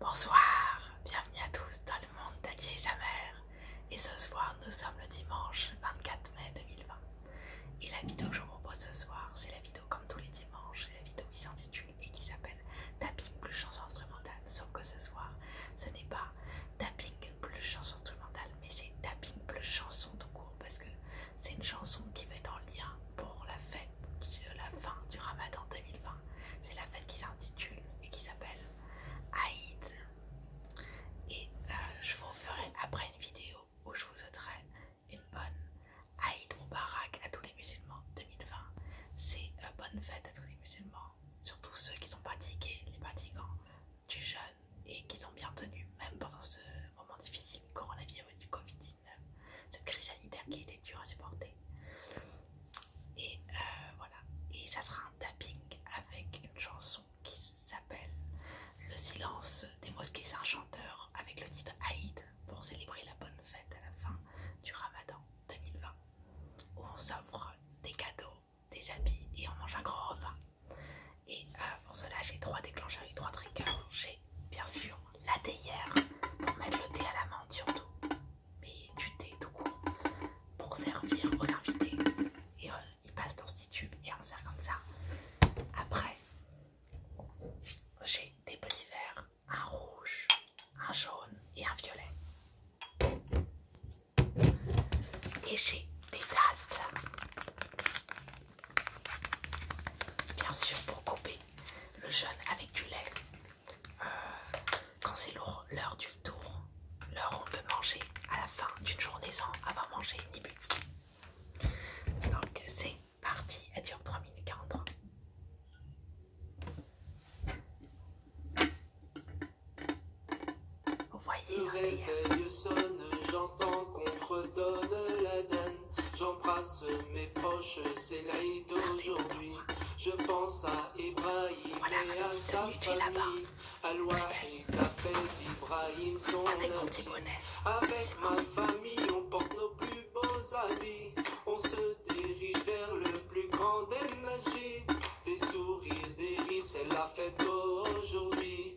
Bonsoir, bienvenue à tous dans le monde d'Adier et sa mère. Et ce soir, nous sommes le dimanche 24 mai 2020. Et la vidéo que je vous propose ce soir, c'est la vidéo comme tous les dimanches, c'est la vidéo qui s'intitule et qui s'appelle Tapping plus chanson instrumentale. Sauf que ce soir, ce n'est pas Tapping plus chanson instrumentale, mais c'est Tapping plus chanson tout court parce que c'est une chanson qui va être en lien pour la fête de la fin du Ramadan 2020. C'est la fête qui s'intitule et qui s'appelle Aïd. Et euh, je vous ferai après une vidéo où je vous souhaiterai une bonne Aïd Moubarak à tous les musulmans 2020. C'est une bonne fête à tous les musulmans, surtout ceux qui sont pratiqués, les pratiquants du jeûne et qui sont bien tenus, même pendant ce moment difficile du coronavirus du Covid-19 cette crise sanitaire qui était dure à supporter. Et euh, voilà, et ça sera un tapping avec une chanson qui s'appelle Le silence des mosquées. C'est un chanteur avec le titre Aïd pour célébrer la bonne fête à la fin du ramadan 2020 où on s'offre des cadeaux, des habits et on mange un grand repas. Et euh, pour cela, j'ai trois déclencheurs et trois triggers. J'ai bien sûr la théière pour mettre le thé à la menthe surtout, mais du thé tout court pour servir aux invités. Et euh, il ils passent dans ce petit tube et on sert comme ça. Après, j'ai des petits verres, un rouge, un jaune et un violet. Et j'ai des dates. Bien sûr pour couper le jeûne avec du lait. Euh, quand c'est lourd, l'heure du tour, l'heure où on peut manger à la fin d'une journée sans avoir mangé ni Donc c'est parti, à dure 3 minutes 43. Vous voyez, danse. J'embrasse mes proches, c'est fête d'aujourd'hui Je pense à Ibrahim et à sa famille. À la d'Ibrahim, son ami. Avec ma famille, on porte nos plus beaux habits. On se dirige vers le plus grand des magies. Des sourires, des rires, c'est la fête d'aujourd'hui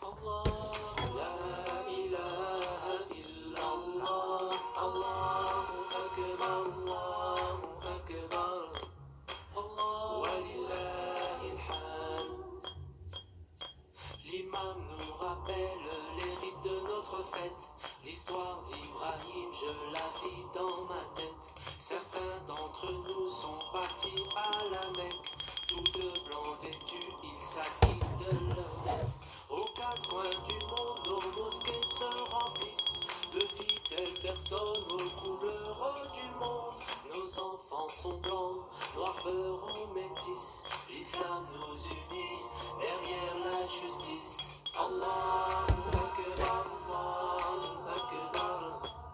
Allah, il n'y a illa Allah. Allah est grand, Allah est grand. Allah est le L'imam nous rappelle les rites de notre fête. L'histoire d'Ibrahim, je la vis dans ma tête. Certains d'entre nous sont partis à La Mecque, tous de blondes. vêtu, il s'acquitte de l'homme. Aux quatre coins du monde, nos mosquées se remplissent de fidèles personnes aux couleurs du monde. Nos enfants sont blancs, noirs, beurs ou métis. L'islam nous unit derrière la justice. Allah, Akbar, Allah, Akbar.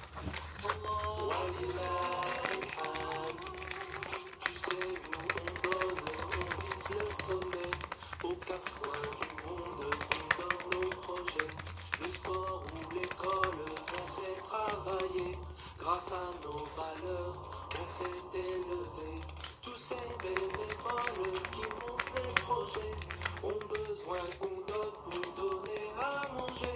Tu sais, nous sommes d'accord pour le sommet. Aux quatre coins du monde, on nos projets. Le sport ou l'école, on sait travailler. Grâce à nos valeurs, on s'est élevé. Tous ces bénévoles qui montrent les projets ont besoin qu'on donne pour donner à manger.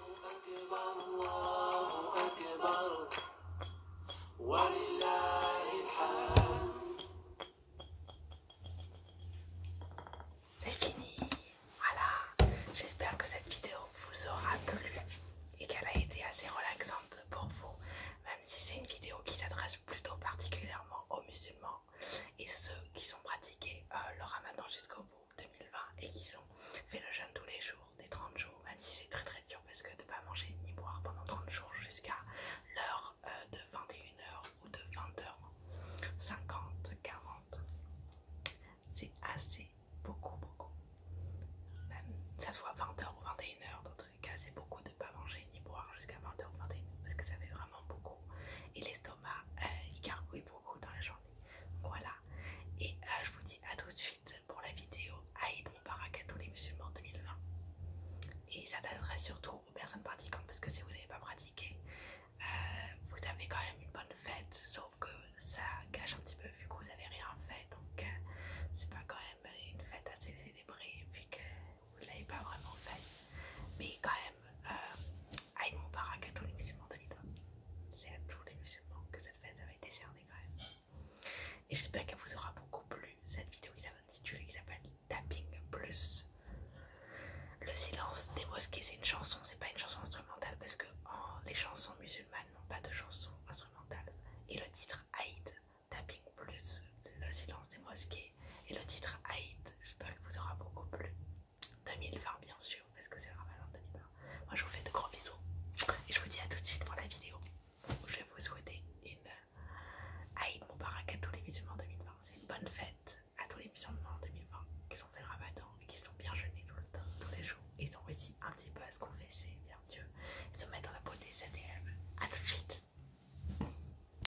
C'est fini. Voilà. J'espère que cette vidéo vous aura plu et qu'elle a été assez relaxante pour vous, même si c'est une vidéo qui s'adresse plutôt particulièrement aux musulmans et ceux qui ont pratiqué euh, le ramadan jusqu'au bout 2020 et qui ont fait le jeûne tous les jours des 30 jours même si c'est très très dur parce que de ne pas manger ni boire pendant 30 jours jusqu'à l'heure euh, de 21h ou de 20h 50 40 c'est assez beaucoup beaucoup même ça soit 20h ou 21h dans tous les cas c'est beaucoup de ne pas manger ni boire jusqu'à 20h ou 21h parce que ça fait vraiment beaucoup et l'estomac euh, il gargouille beaucoup dans la journée. Voilà. Et euh, je vous dis à tout de suite pour la vidéo Aïd Moubarak tous les musulmans 2020. Et ça t'adresse surtout aux personnes pratiquantes parce que si vous n'avez pas pratiqué, euh, vous avez quand même une bonne fête, sauf que ça gâche un petit peu vu que vous n'avez rien fait. Donc euh, c'est pas quand même une fête assez célébrée puis que vous ne l'avez pas vraiment fait. Mais quand même. Aïd Moubarak euh, à tous les musulmans de C'est à tous les musulmans que cette fête avait été cernée quand même. Et j'espère qu'elle vous aura beaucoup plu, cette vidéo qui s'appelle Tapping Plus. Le silence des mosquées, c'est une chanson, c'est pas une chanson instrumentale parce que oh, les chansons musulmanes n'ont pas de chanson instrumentale. Et le titre Aïd, Tapping Plus, le silence des mosquées et le titre Aïd, j'espère que vous aura beaucoup plu. 2020 bien sûr, parce que c'est le ramadan 2020. Moi je vous fais de gros bisous et je vous dis à tout de suite pour la vidéo. Je vais vous souhaiter une Aïd Moubarak à tous les musulmans 2020. C'est une bonne fête à tous les musulmans 2020 qui ont fait le ramadan et qui sont bien jeûnés tout le temps, tous les jours. ils ont réussi un petit peu à se confesser bien Dieu Ils se mettre dans la beauté, cette ADM. A tout de suite